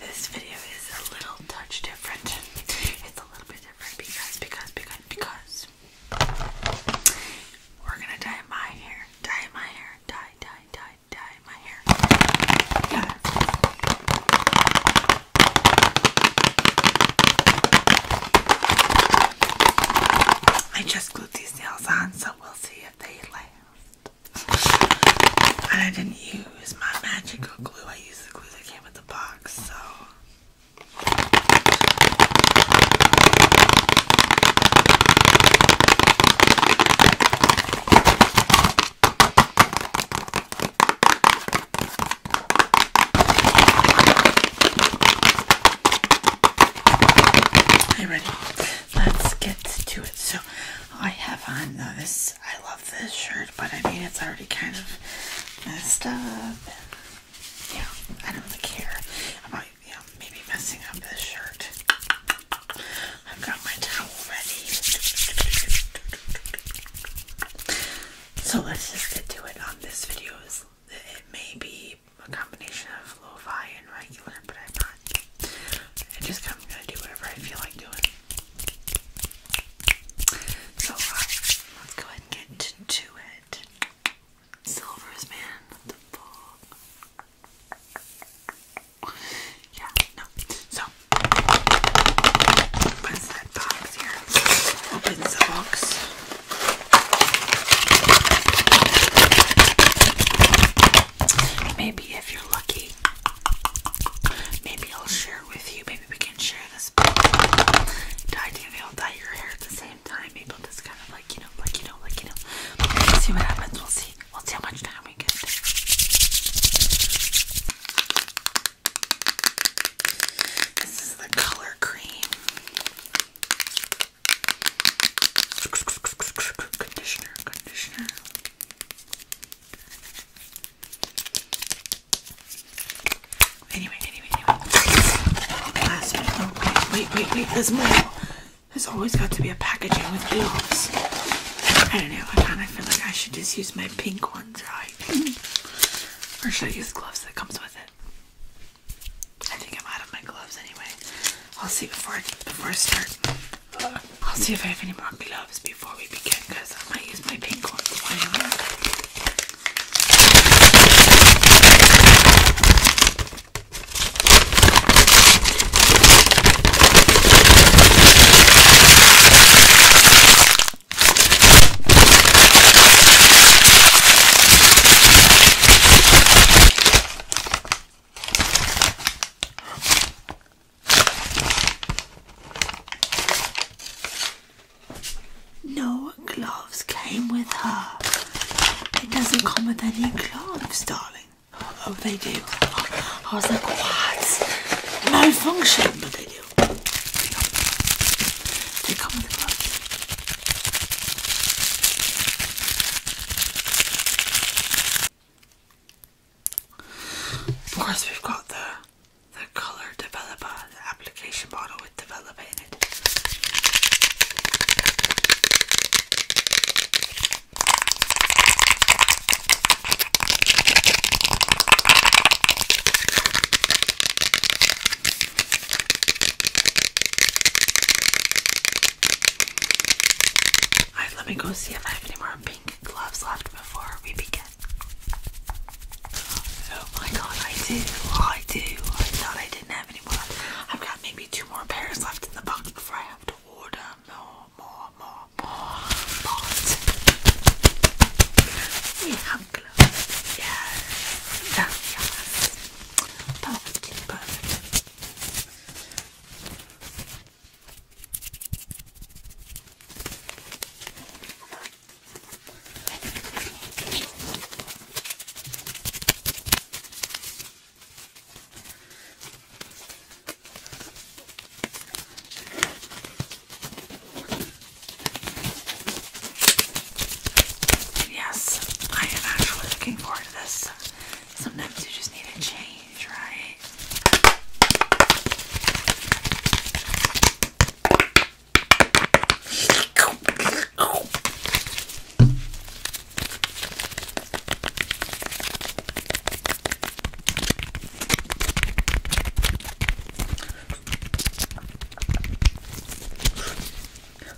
This video is a little touch different. It's a little bit different because, because, because, because we're gonna dye my hair, dye my hair, dye, dye, dye, dye my hair. Yeah. I just glued these nails on, so we'll see if they last. I didn't use my magical glue. I used the glue that came with the box. So Hey, ready? Let's get to it. So I have on this. I love this shirt, but I mean, it's already kind of messed up. Yeah, I don't really care about you know, maybe messing up this shirt. I've got my towel ready. So let's just get to it on this video. It may be a combination of lo-fi and regular, but I'm not I just I'm gonna do whatever I feel like doing. So uh, let's go ahead and get to it. Silvers, man, Yeah, no. So opens that box here. Opens the box. Maybe if you're lucky, maybe I'll share with you. Maybe we can share this. Dye, maybe I'll dye your hair at the same time. Maybe I'll just kind of like, you know, like, you know, like, you know. We'll see what happens. We'll see. We'll see how much time we get. This is the color cream. Conditioner, conditioner. Anyway, anyway, anyway. Last bit. wait, wait, wait, wait. There's more. There's always got to be a packaging with gloves. I don't know. I kind of feel like I should just use my pink ones, right? or should I use gloves that comes with it? I think I'm out of my gloves anyway. I'll see before I, before I start. I'll see if I have any more gloves before we begin because I might use my pink ones no gloves came with her. It doesn't come with any gloves, darling. Oh, they do. I was like, what? No function, but they do. They come with gloves. Of course, we've got the the color developer, application model with developer in it. Alright, let me go see if I have any more pink gloves left before we begin. Oh my god, I do. Oh, I do. I thought I didn't have any more. I've got maybe two more pairs left in the box before I have to order more, more, more, more. But we have gloves. Yes. That's yes. Perfect, perfect. Yes, I am actually looking forward to this. Sometimes you just need a change, right?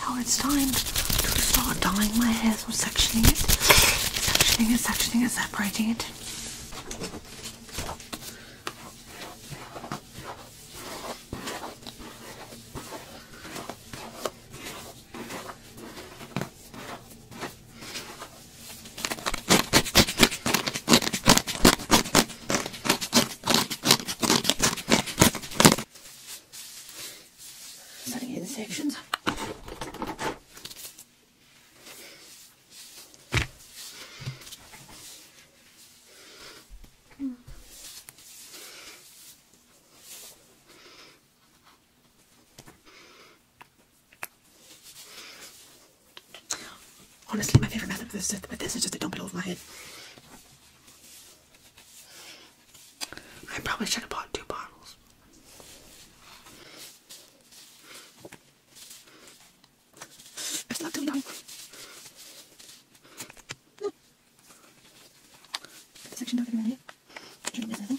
Now it's time to start dyeing my hair, so sectioning it, sectioning it, sectioning it, separating it. Starting in sections. Honestly, my favourite method of this, with this is just a dump it over my head. I probably should have bought two bottles. It's not coming down. No. The section dog around here. Shouldn't miss anything.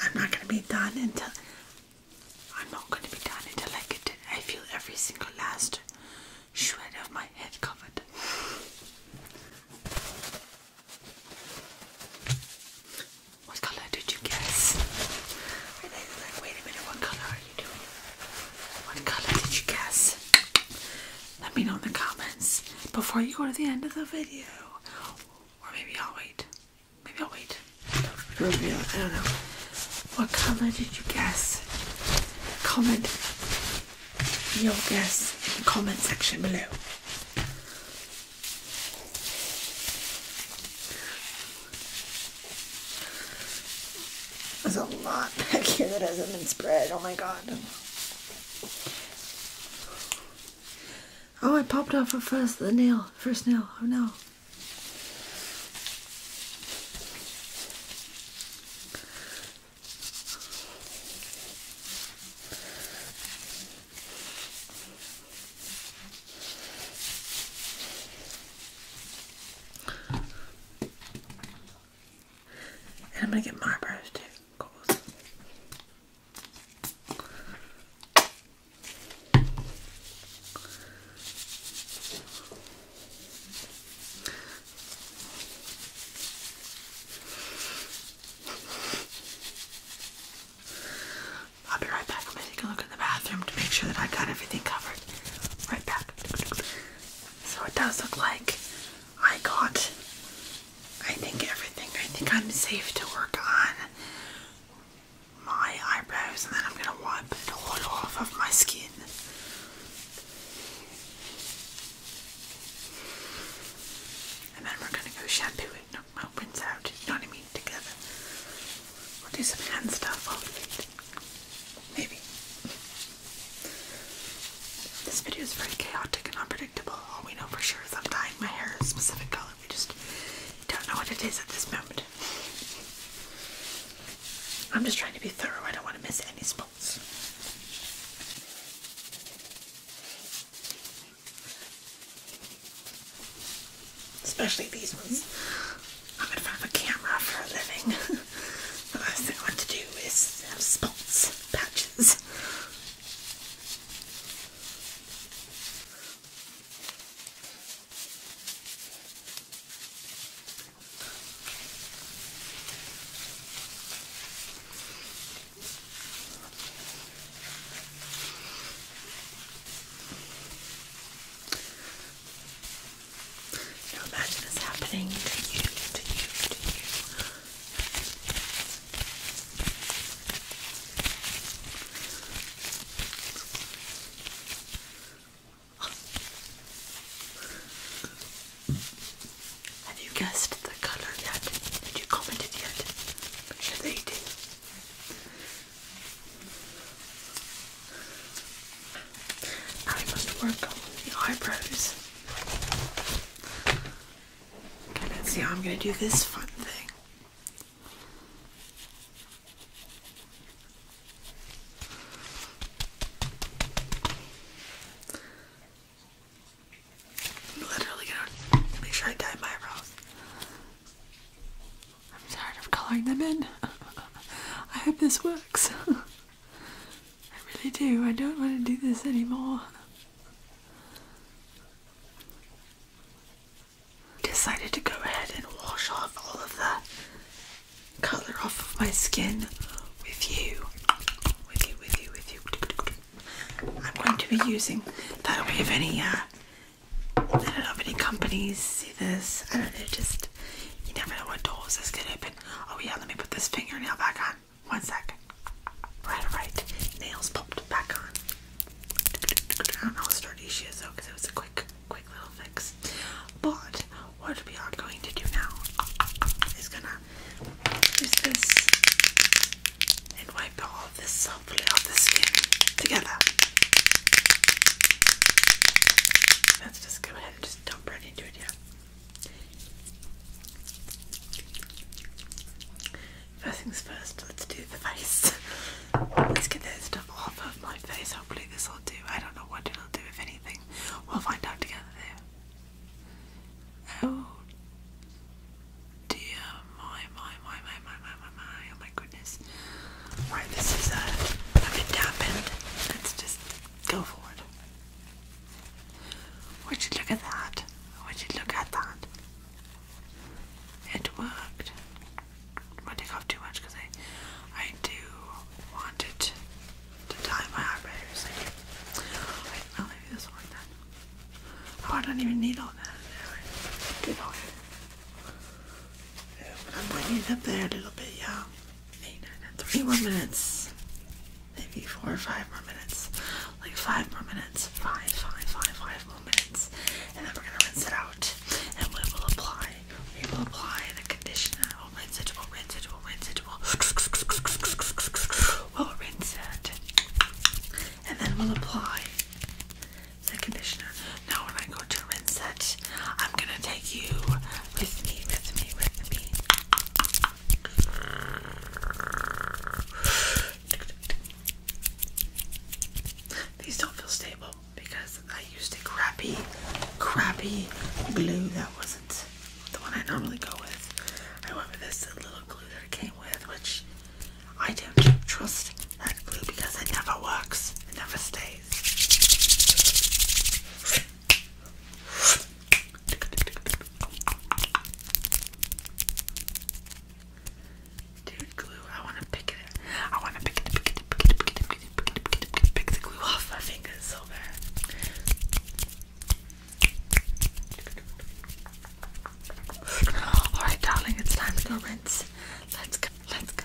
I'm not going to be done until I'm not going to be done until I get I feel every single last shred of my head covered. What color did you guess? And I was like, wait a minute, what color are you doing? What colour did you guess? Let me know in the comments before you go to the end of the video. Or maybe I'll wait. Maybe I'll wait. I don't know. What color did you guess? Comment your guess in the comment section below. There's a lot back here that hasn't been spread. Oh my god. Oh, I popped off a first the nail, first nail. Oh no. I'm going to get my brush too, I'll be right back. I'm take a look in the bathroom to make sure that I got everything covered right back. So it does look like I got, I think, everything. I think I'm safe to work on my eyebrows and then I'm going to wipe it all off of my skin. And then we're going to go shampoo it, knock my rinse out, you know what I mean, together. We'll do some hand stuff while we eat. Maybe. This video is very chaotic and unpredictable. All we know for sure is I'm dyeing my hair a specific color. We just don't know what it is at this moment. I'm just trying to be thorough. I don't want to miss any spots especially these ones. I'm gonna find a camera for a living. the last thing I want to do is have spots, patches. Now imagine this happening to you, to you, to you. Have you guessed the color yet? Did you comment it yet? Should they do? I must work on the eyebrows. Okay, let's see how I'm going to do this fun thing. literally gonna make sure I dye my eyebrows. I'm tired of coloring them in. I hope this works. I really do. I don't want to do this anymore. Decided to go ahead and wash off all of the color off of my skin with you. With you, with you, with you. I'm going to be using that way if any uh, I don't know if any companies see this. I don't know, just you never know what doors this could open. Oh yeah, let me put this fingernail back on. One second. Right, right. Nails popped back on. I don't know how sturdy she is though, because it was a quick, quick little fix. But what we are going to do now is gonna use this and wipe all of the subtly the skin together. Let's just go ahead and just dump right into it here. First things first, let's do the face. let's get that stuff off of my face. Hopefully, this will do. I don't know what it'll do, if anything. We'll find out together there. Oh dear, my, my, my, my, my, my, my, my, oh my goodness. Alright, this is, uh, i dampened. Let's just go forward. Would you look at that? Would you look at that? It worked. I take off too much because I, I do want it to dye my eyebrows. Wait, I'll leave this one oh, I don't even need all that. Anyway, do I'm waiting up there a little bit, y'all. 3 more minutes. Maybe 4 or 5 more minutes. Like 5 more minutes. five, five, five, five more minutes. And then we're going to rinse it out. And we will apply. We will apply the conditioner. We'll rinse it. We'll rinse it. We'll rinse it. We'll, we'll rinse it. And then we'll apply the conditioner. Now when I go to rinse it, I'm gonna take you with me, with me, with me. These don't feel stable because I used a crappy, crappy glue that wasn't the one I normally go with. I went this little glue that it came with, which I don't trust that glue because it never works. It never stays. Dude, glue. I want to pick it. I want to pick it, pick it, pick it, pick it, pick it, pick it, pick it, pick the glue off my fingers so bad. Alright, darling, it's time to go rinse. Let's go, let's go.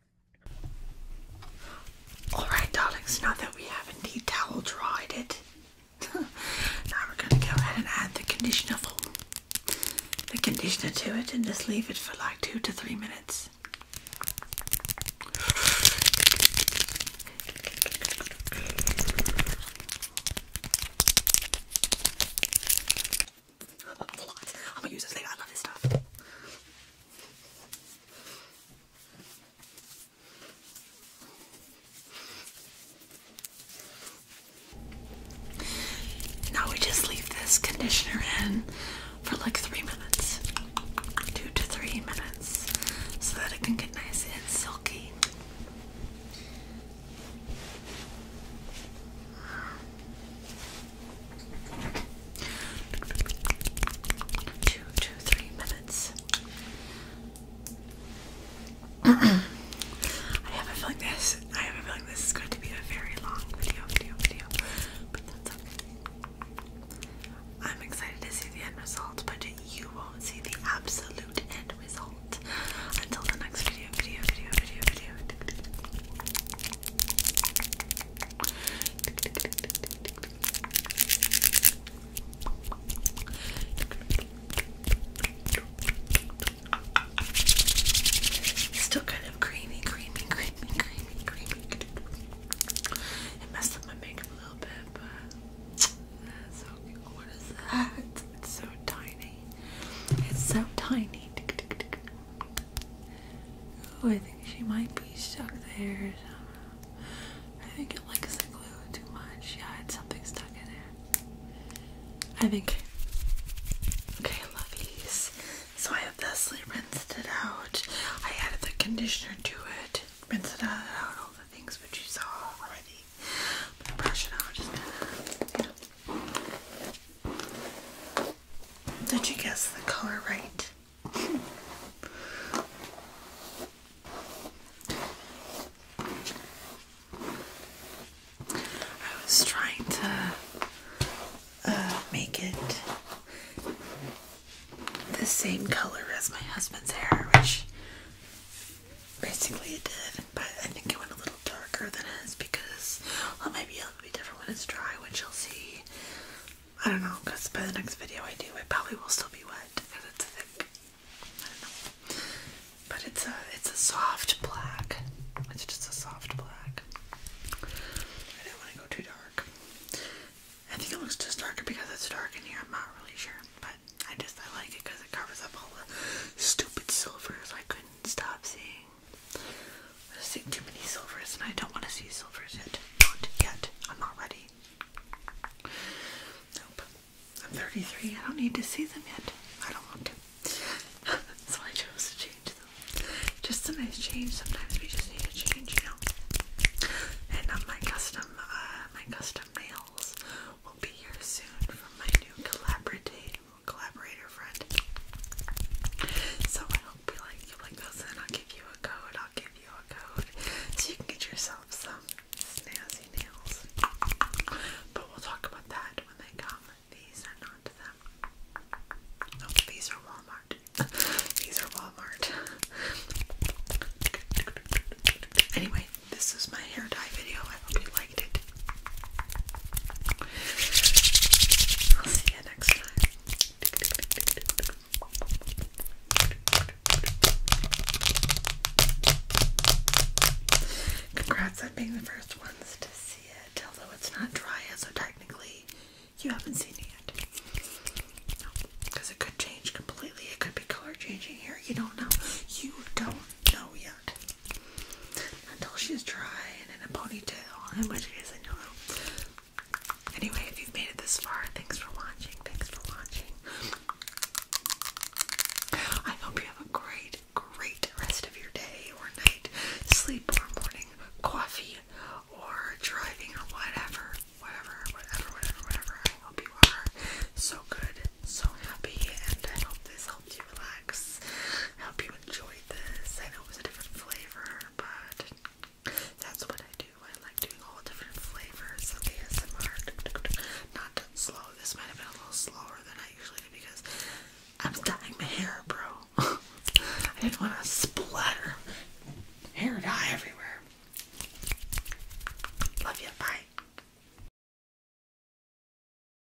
Alright, darlings, now that we have indeed towel dried it, now we're going to go ahead and add the conditioner the conditioner to it, and just leave it for like two to three minutes. Now we just leave this conditioner in for like three minutes, two to three minutes, so that it can get nice and silky. Two minutes. I have a feeling this. I have a feeling this is going to be a very long video, video, video. But that's okay. I'm excited to see the end result, but you won't see the absolute end result until the next video, video, video, video, video. Still kind of creamy, creamy, creamy, creamy, creamy. It messed up my makeup a little bit, but that's okay. What is that? It's so tiny. It's so tiny. Oh, I think she might be stuck there. I think it likes the glue too much. Yeah, it's something stuck in there. I think. Okay, lovies. So I obviously rinsed it out. I added the conditioner to it. Rinsed it out, out all the things which you saw already. brush it out. Did you guess the color right? I was trying to uh, make it the same color as my husband's hair, which basically it did, but I think it went a little darker than his because well, it might be different when it's dry, which you'll see. I don't know, because by the next video I do, it probably will still be wet because it's thick. I don't know, but it's a it's a soft black. It's just a soft black. I didn't want to go too dark. I think it looks just darker because it's dark in here. I'm not really sure, but I just I like it because it covers up all the stupid silvers I couldn't stop seeing. I've too many silvers and I don't want to see silvers yet. yet. I'm not ready. Nope. I'm 33. I don't need to see them yet. I don't want to. so I chose to change them. Just a nice change. Sometimes we just need to change, you know. And um, my custom, uh, my custom nails will be here soon from my new collaborative collaborator friend. So I hope you like you like those, and I'll give you a code. I'll give you a code so you can get yourself some snazzy nails. But we'll talk about that when they come. These are not them. these are Walmart. these are Walmart. Anyway, this is my hair dye video. I hope you Congrats on being the first ones to see it, although it's not dry yet, so technically you haven't seen it yet. Because it could change completely. It could be color changing here. You don't know. You don't know yet until she's dry and in a ponytail, in which case I know. Anyway, if you've made it this far, thanks for watching. Thanks for watching. I hope you have a great, great rest of your day or night, sleep or morning, coffee or driving or whatever. Whatever, whatever, whatever, whatever. I hope you are so good, so happy, and I hope this helps helped you relax. I you enjoyed this. I know it was a different flavor, but that's what I do. I like doing all different flavors of ASMR. Not slow. This might have been a little slower than I usually do because I'm dyeing my hair, bro. I didn't want to splatter hair dye everywhere. Love you. Bye.